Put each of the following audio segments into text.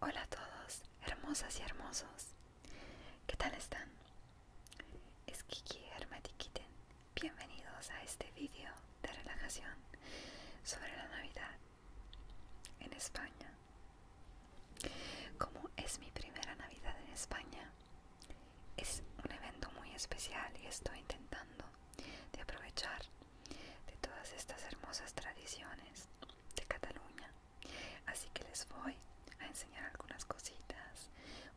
Hola a todos, hermosas y hermosos. ¿Qué tal están? Es Kiki Hermatiquiten. Bienvenidos a este vídeo de relajación sobre la Navidad en España. Como es mi primera Navidad en España, es un evento muy especial y estoy intentando de aprovechar de todas estas hermosas tradiciones de Cataluña. Así que les voy a enseñar algunas cositas,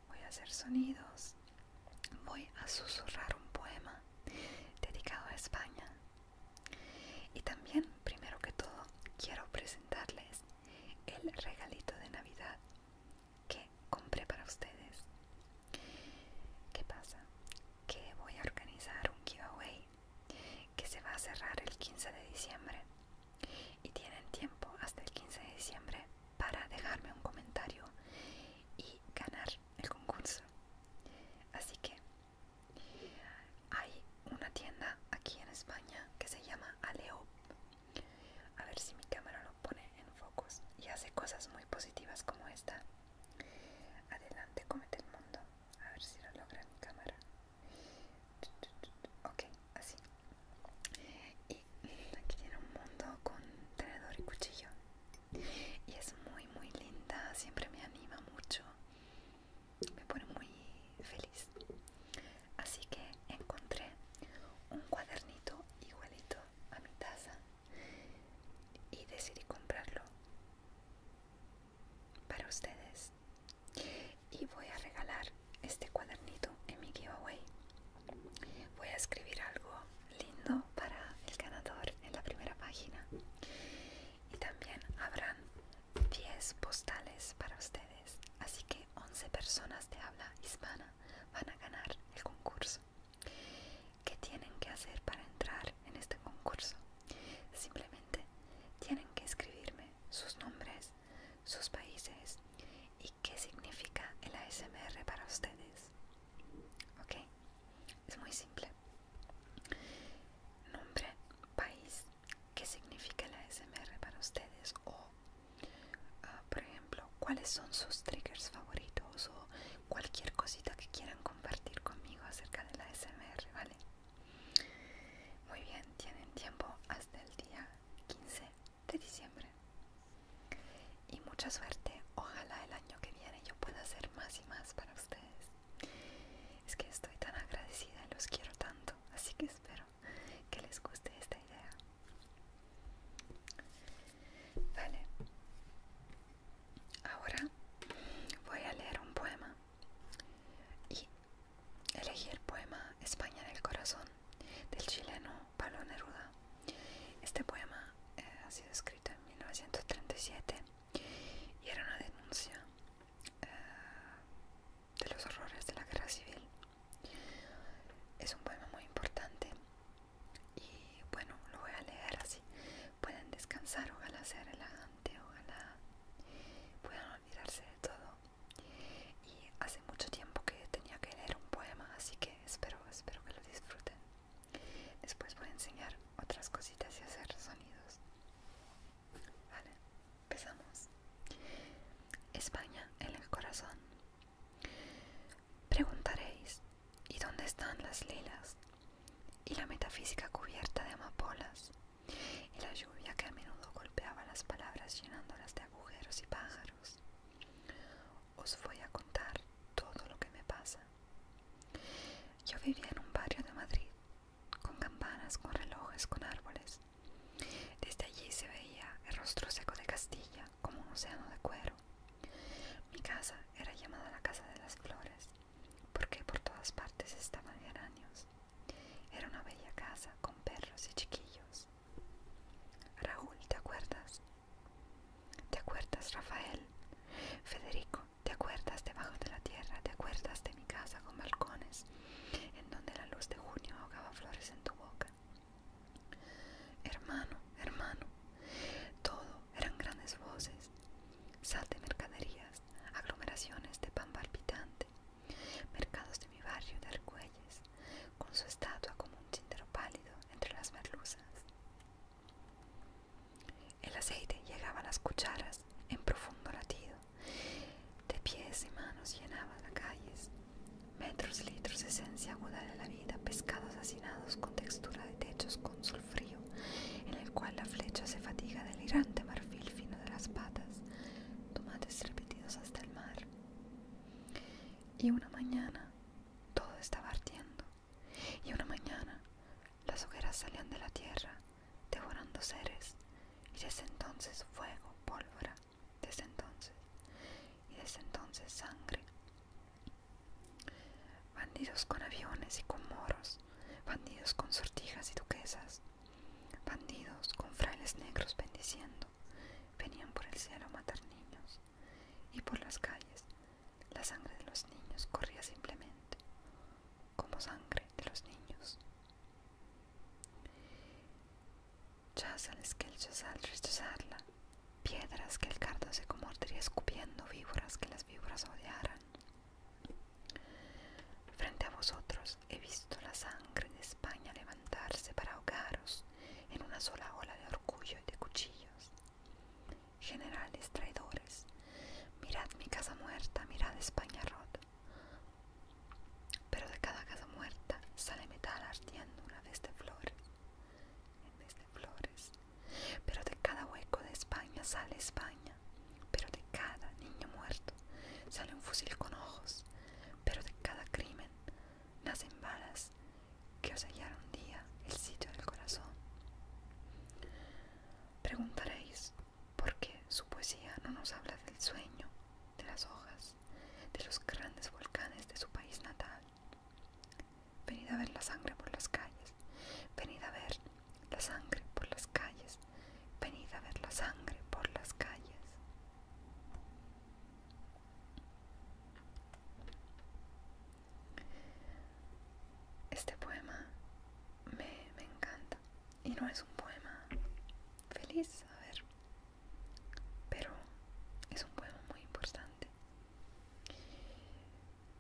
voy a hacer sonidos, voy a susurrar un poema dedicado a España. Y también, primero que todo, quiero presentarles el regalito de Navidad que compré para ustedes. ¿Qué pasa? que voy a organizar un giveaway que se va a cerrar el 15 de diciembre y tienen tiempo hasta el 15 de diciembre para dejarme un comentario y ganar el concurso así que hay una tienda aquí en España que se llama Aleo a ver si mi cámara lo pone en focus y hace cosas muy positivas como esta Adelante, comete el mundo. A ver si lo logra mi cámara. Ok, así. Y aquí tiene un mundo con tenedor y cuchillo. Y es muy, muy linda. Siempre me anima mucho. Me pone muy feliz. Así que encontré un cuadernito igualito a mi taza y decidí comprarlo para ustedes y voy a regalar este cuadernito en mi giveaway voy a escribir algo lindo para el ganador en la primera página y también habrán 10 postales para ustedes así que 11 personas de habla hispana van a ganar el concurso ¿Qué tienen que hacer para entrar en este concurso? Simplemente tienen que escribirme sus nombres, sus países y qué significa el ASMR para ustedes. ¿Ok? Es muy simple. Nombre, país, qué significa el ASMR para ustedes o, ah, por ejemplo, cuáles son sus triggers favoritos o cualquier cosita que quieran compartir conmigo acerca de la SMR, ¿vale? Muy bien, tienen tiempo hasta el día 15 de diciembre. Y mucha suerte, ojalá el año que viene yo pueda hacer más y más para ustedes. Es que estoy tan agradecida y los quiero tanto, así que espero que les guste esta idea. Vale, Ahora voy a leer un poema y elegí el poema España en el corazón del chileno Pablo Neruda. Este poema eh, ha sido escrito en 1937 y era una denuncia eh, de los horrores de la guerra civil. Es un poema muy importante y bueno lo voy a leer así pueden descansar ojalá sea relajante ojalá puedan olvidarse de todo y hace mucho tiempo que tenía que leer un poema así que espero espero que lo disfruten después voy a enseñar otras cositas y hacer sonidos vale empezamos España en el corazón preguntaréis ¿Y dónde están las lilas? Y la metafísica cubierta de amapolas. Y la lluvia que a menudo golpeaba las palabras llenándolas de agujeros y pájaros. Os voy a contar todo lo que me pasa. Yo vivía en un barrio de Madrid, con campanas, con relojes, con árboles. Desde allí se veía el rostro seco de Castilla como un océano de cuero. Mi casa era llamada la Casa de las Flores porque por todas partes estaban geranios. Era una bella casa con perros y chiquillos. Raúl, ¿te acuerdas? ¿Te acuerdas, Rafael? Federico, ¿te acuerdas debajo de la tierra? ¿Te acuerdas de mi casa con balcones, en donde la luz de junio ahogaba flores en tu boca? Hermano, hermano, todo eran grandes voces, sal de mercaderías, aglomeraciones de pan palpitante, mercados de mi barrio de Argüelles, con su estatua como un tintero pálido entre las merluzas. El aceite llegaba a las cucharas en profundo latido, de pies y manos llenaba las calles, metros, litros, esencia aguda de la vida, pescados hacinados con textura de techos con frío, en el cual la flecha se fatiga del marfil fino de las patas, tomates repetidos hasta el mar. Y una mañana todo estaba ardiendo, y una mañana las hogueras salían de la tierra, devorando seres, y desde entonces fuego, pólvora, desde entonces, y desde entonces sangre, Bandidos con aviones y con moros, bandidos con sortijas y duquesas, bandidos con frailes negros bendiciendo, venían por el cielo a matar niños, y por las calles la sangre de los niños corría simplemente, como sangre de los niños. Chazales que el chazal rechazarla, piedras que el cardo se comordería escupiendo víboras que las víboras odiaran, Frente a vosotros he visto la sangre de España levantarse para ahogaros en una sola ola de orgullo y de cuchillos. Generales traidores, mirad mi casa muerta, mirad España rota. Pero de cada casa muerta sale metal ardiendo una vez de este flores flores. Pero de cada hueco de España sale España. Pero de cada niño muerto sale un fusil con ojos. Pero de cada crimen nacen balas que os hallaron un día el sitio del corazón. Preguntaréis por qué su poesía no nos habla del sueño, de las hojas, de los grandes volcanes de su país natal. Venid a ver la sangre por las calles. Venid a ver la sangre por las calles. Venid a ver la sangre por las calles. Este poema me, encanta. Y no es un poema feliz, a ver. Pero es un poema muy importante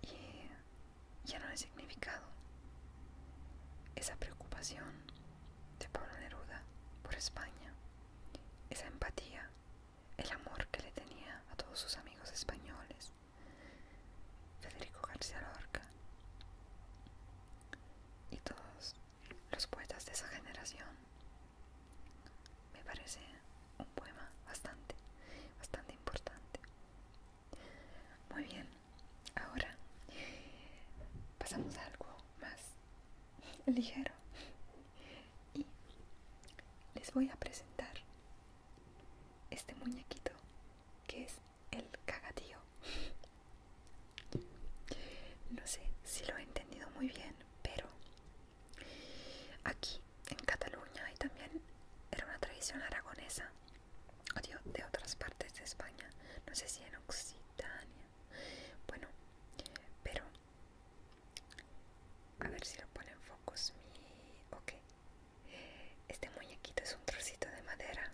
y ya no hay significado. Esa preocupación de Pablo Neruda por España, esa empatía, el amor que le tenía a todos sus amigos españoles, Federico García Lorca y todos los poetas de esa generación, me parece un poema bastante, bastante importante muy bien, ahora pasamos a algo más ligero y les voy a presentar este muñequito que es el cagatío. No sé si lo he entendido muy bien, pero aquí en Cataluña y también era una tradición aragonesa Odio de, otras partes de España, no sé si en Occitania, bueno, pero a ver si lo pone en focus mi... ok este muñequito es un trocito de madera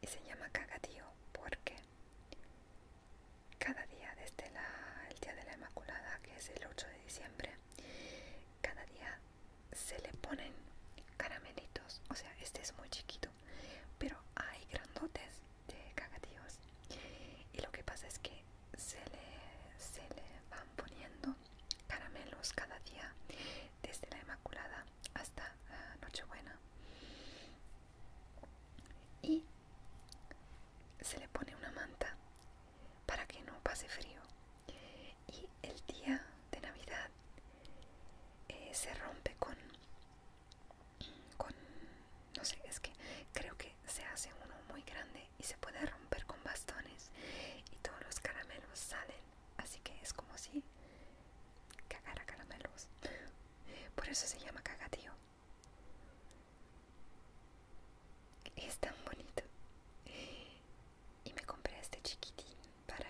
y se llama cagadío porque cada día desde la, el día de la Inmaculada que es el 8 de diciembre cada día se le ponen caramelitos, o sea, este es muy chiquito, pero hay grandotes de cagatíos. Y lo que pasa es que se le, van poniendo caramelos cada día, desde la Inmaculada hasta ah, Nochebuena. Y se le pone una manta para que no pase frío. Y el día de Navidad eh, se rompe con, con, no sé, es que creo que se hace uno muy grande y se puede romper con bastones y todos los caramelos salen, así que es como si cagara caramelos. Por eso se llama cagatío Es tan bonito y me compré este chiquitín para,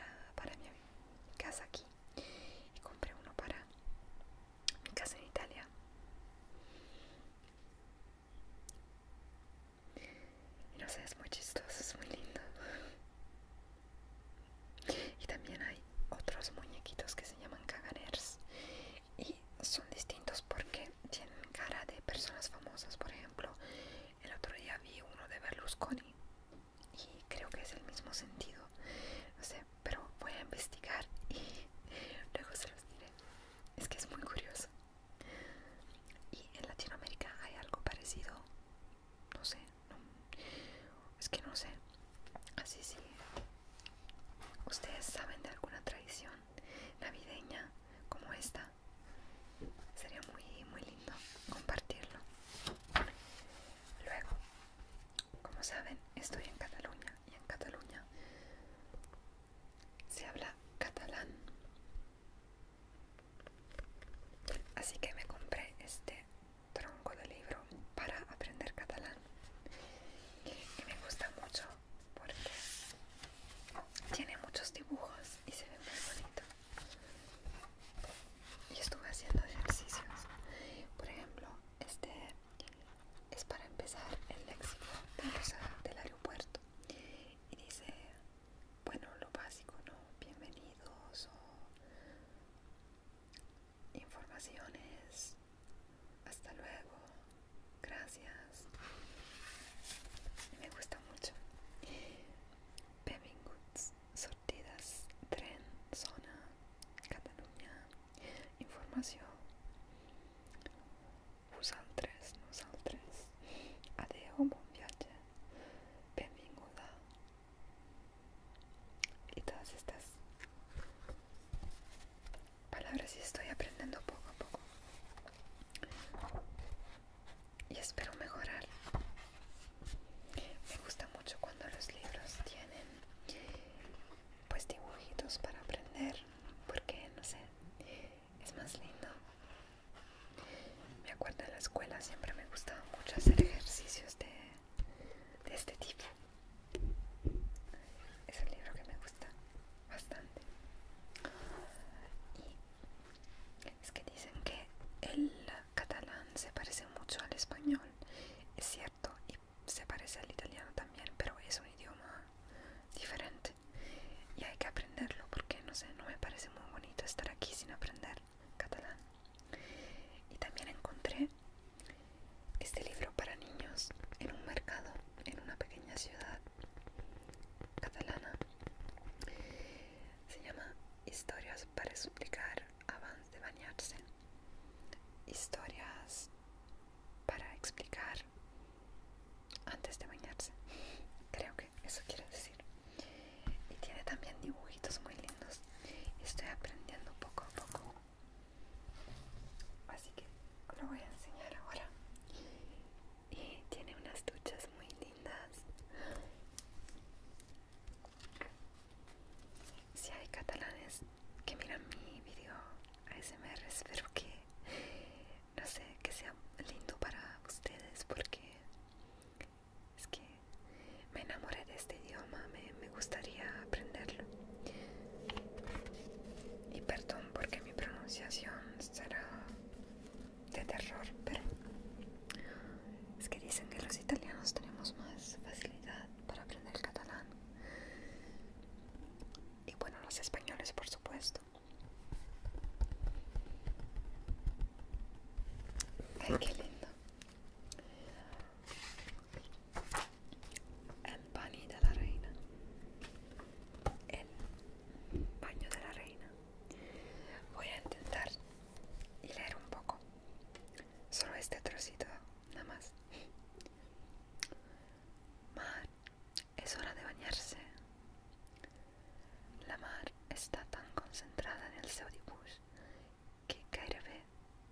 mi casa aquí y compré uno para mi casa en Italia y no sé, es muy chistoso, es muy lindo y también hay otros muñequitos que se llaman caganers y son distintos porque tienen cara de personas famosas por ejemplo el otro día vi uno de Berlusconi y creo que es el mismo sentido. No sé, pero voy a investigar y luego se los diré. Es que es muy curioso. Y en Latinoamérica hay algo parecido. No sé, es que no sé. Así sí. ¿Ustedes saben de alguna tradición navideña como esta? sería muy muy lindo compartirlo luego como saben estoy en Cataluña y en Cataluña se habla catalán así que me compré este tronco de libro para aprender catalán y me gusta mucho porque tiene muchos dibujos y se ve muy bonito y estuve haciendo ejercicios por ejemplo este es para empezar el léxico del aeropuerto y dice bueno lo básico no bienvenidos o informaciones hasta luego gracias me gusta mucho Benvinguts, sortidas, tren, zona, Catalunya, tres, Vosaltres, nosaltres. Adeu, bon viatge. Benvinguda. Y todas estas palabras y estoy aprendiendo poco a poco y espero mejorar. Me gusta mucho cuando los libros tienen pues dibujitos para aprender porque no sé, es más lindo. Me acuerdo en la escuela siempre me gustaba mucho hacer ejercicios de, de este tipo. Es el libro que me gusta bastante. Es que dicen que el catalán se parece mucho al español, es cierto, y se parece al italiano también, pero es un idioma diferente y hay que aprenderlo porque no sé, no me parece muy bonito estar aquí sin aprender catalán. Y también encontré este libro para niños en un mercado en una pequeña ciudad catalana se llama Historias para suplicar antes de bañarse. Historias para explicar antes de bañarse. Creo que eso quiere decir. Y tiene también dibujitos muy lindos. Estoy aprendiendo poco a poco. Así que lo voy a enseñar ahora y tiene unas duchas muy lindas. Si hay catalanes que miran mi video ASMR, espero que, no sé, que sea lindo para ustedes porque es que me enamoré de este idioma, me, me gustaría aprenderlo. Y perdón porque mi pronunciación será de terror, pero es que dicen que los italianos tenemos más facilidad para aprender catalán. Y bueno, los españoles, por supuesto. qué lindo. El baño de la reina. El baño de la reina. Voy a intentar y leer un poco. Solo este trocito, nada más. Mar, es hora de bañarse. La mar está tan concentrada en el dibujo que Kairebe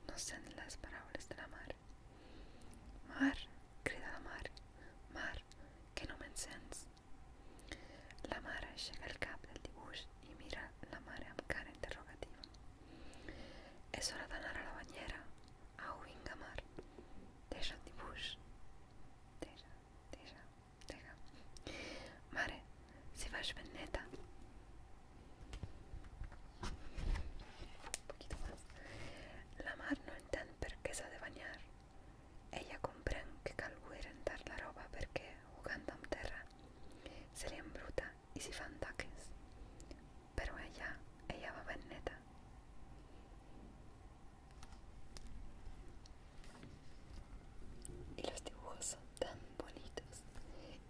no sé las palabras de la mar. Mar, grita la mar, mar, que no me encens. La mare scega il capo del Dibush e mira la mare amb cara interrogativa. És hora d'anar a la banyera? Au, vinga, mar. Deixa el Dibush. Deixa, deixa, deixa. Mare, si vas ben neta. Un poquito más. La mar no entén per què s'ha de banyar. Ella comprende que cal dar rentar la ropa porque jugando en terra, se bruta embruta y se fan taques. Pero ella, ella va bien neta. Y los dibujos son tan bonitos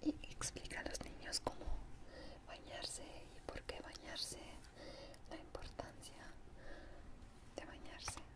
y explica a los niños cómo bañarse y por qué bañarse, la importancia de bañarse.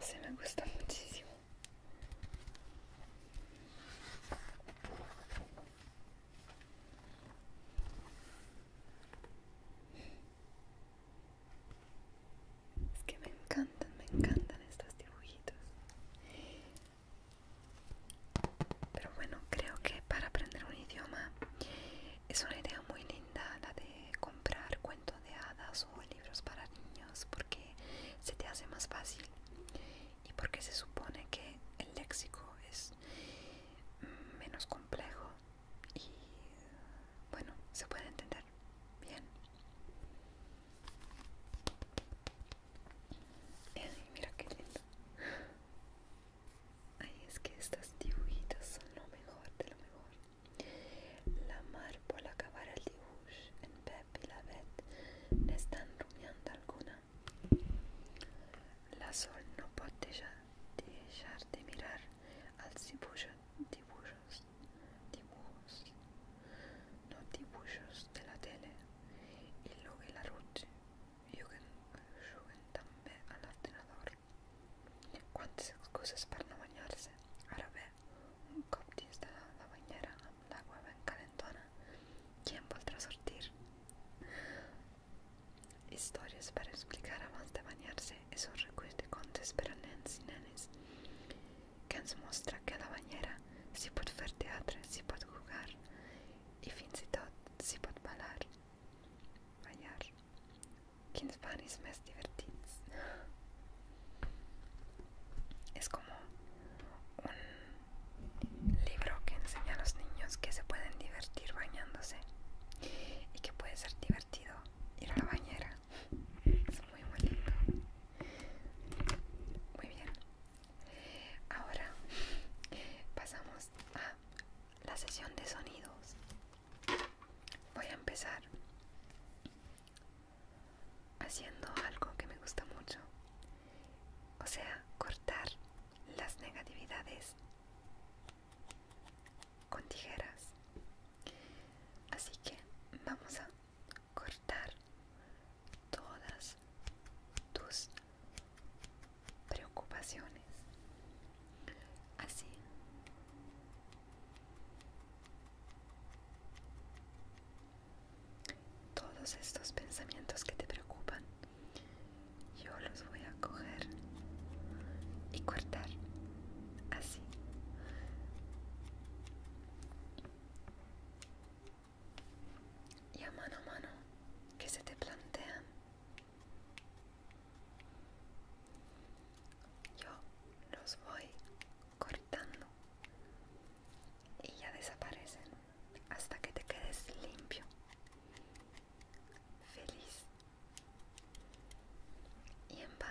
Se me gusta muchísimo. Es que me encantan, me encantan estos dibujitos. Pero bueno, creo que para aprender un idioma es una idea muy linda la de comprar cuentos de hadas o libros para niños porque se te hace más fácil y porque se supone que el léxico es menos complejo y bueno, se puede entender bien. mira qué lindo. Ay, es que estas dibujitas son lo mejor de lo mejor. La mar por acabar el dibuix en Pep i la Bet n'estan rumiant alguna. La Sol no pot deixar, deixar de mirar els dibuixos, dibuixos, dibuixos, no dibuixos de la tele i Luke i la Ruth juguen, juguen també a l'ordenador. Cuántas excusas para no bañarse. Ahora ve, un copti de la bañera, la agua bien calentona. ¿Quién podrá sortir? Historias para explicar a más de bañarse Esos un de contes para Nancy y nenes que se mostra que la bañera Si puede hacer teatro, si puede jugar y, fin si todo, si puede bailar. ballar quins Banis Mess es como un libro que enseña a los niños que se pueden divertir bañándose y que puede ser divertido ir a la bañera es muy muy lindo muy bien ahora pasamos a la sesión de sonidos voy a empezar haciendo algo que me gusta mucho, o sea, cortar las negatividades con tijeras. Así que vamos a cortar todas tus preocupaciones así todos estos pensamientos que te preocupan yo los voy a coger y cortar así y a mano a mano que se te plantean yo los voy cortando y ya desaparecen hasta que te quedes limpio, feliz y en paz.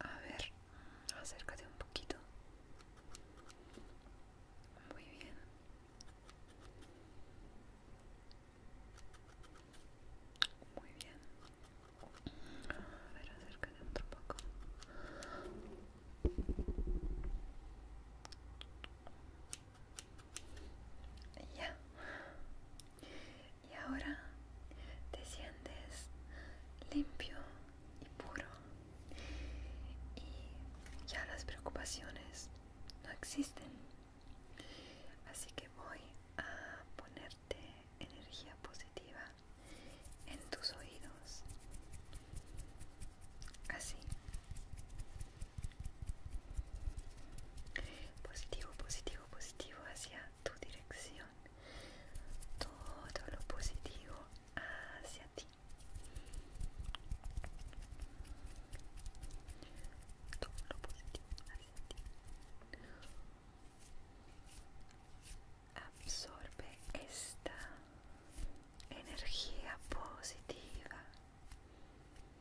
A ver, acércate un poquito. Muy bien. Muy bien. A ver, acércate un poco. Ya. Y ahora te sientes limpio y puro. Y ya las preocupaciones no existen. Así que voy a ponerte energía positiva en tus oídos así positivo positivo positivo hacia tu dirección todo lo positivo hacia ti todo lo positivo hacia absorbe esta energía positiva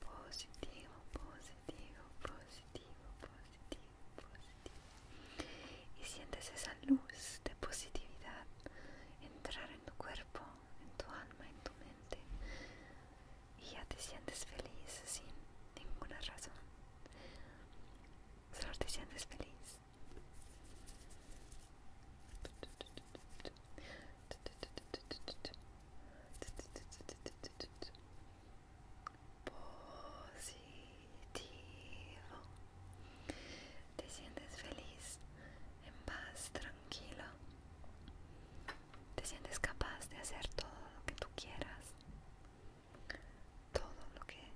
positivo, positivo, positivo, positivo, positivo. Y sientes esa luz de positividad entrar en tu cuerpo, en tu alma, en tu mente. Y ya te sientes feliz sin ninguna razón. Solo te sientes feliz positivo te sientes feliz en paz tranquilo te sientes capaz de hacer todo lo que tú quieras todo lo que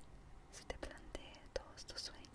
se te plantee todos tus sueños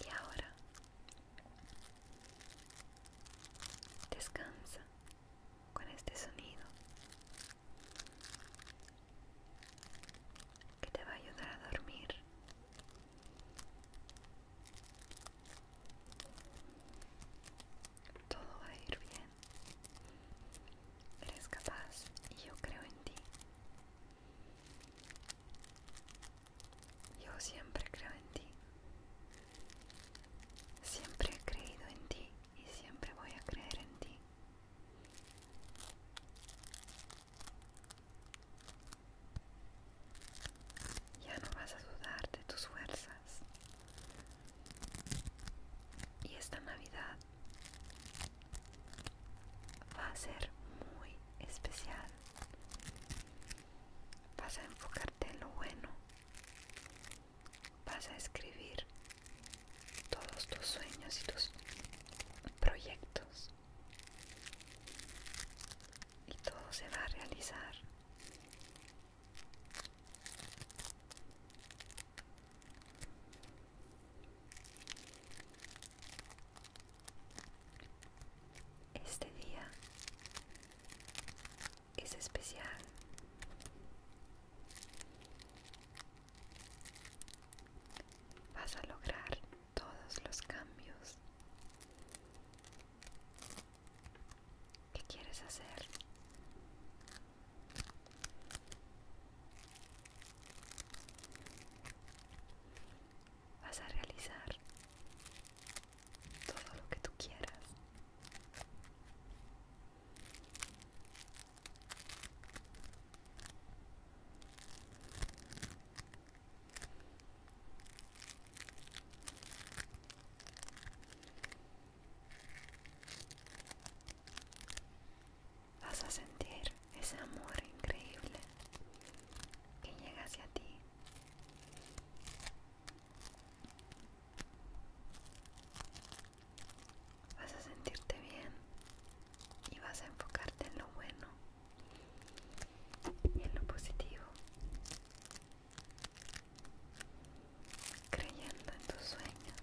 Y ahora descansa con este sonido que te va a ayudar a dormir. Todo va a ir bien. Eres capaz y yo creo en ti. Yo siempre creo en ti. Siempre he creído en ti y siempre voy a creer en ti. Ya no vas a dudar de tus fuerzas. Y esta Navidad va a ser muy especial. Vas a enfocarte en lo bueno. Vas a escribir todos tus sueños y tus proyectos. Y todo se va a realizar. Este día es especial. Vas a lograr todos los cambios que quieres hacer Vas a realizar todo lo que tú quieras vas a sentir ese amor increíble que llega hacia ti. Vas a sentirte bien y vas a enfocarte en lo bueno y en lo positivo, creyendo en tus sueños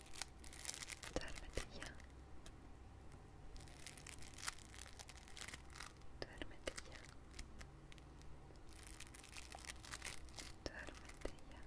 Duérmete ya. Duérmete ya. Duérmete ya. Duérmete ya. Duérmete ya.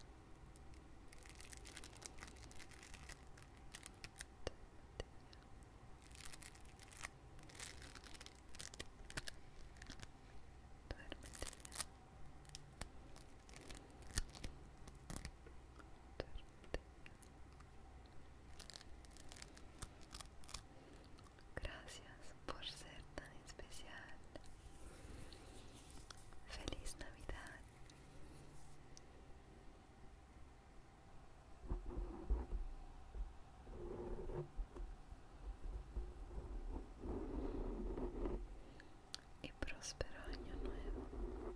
Gracias por ser tan especial. Feliz Navidad. Y próspero año nuevo.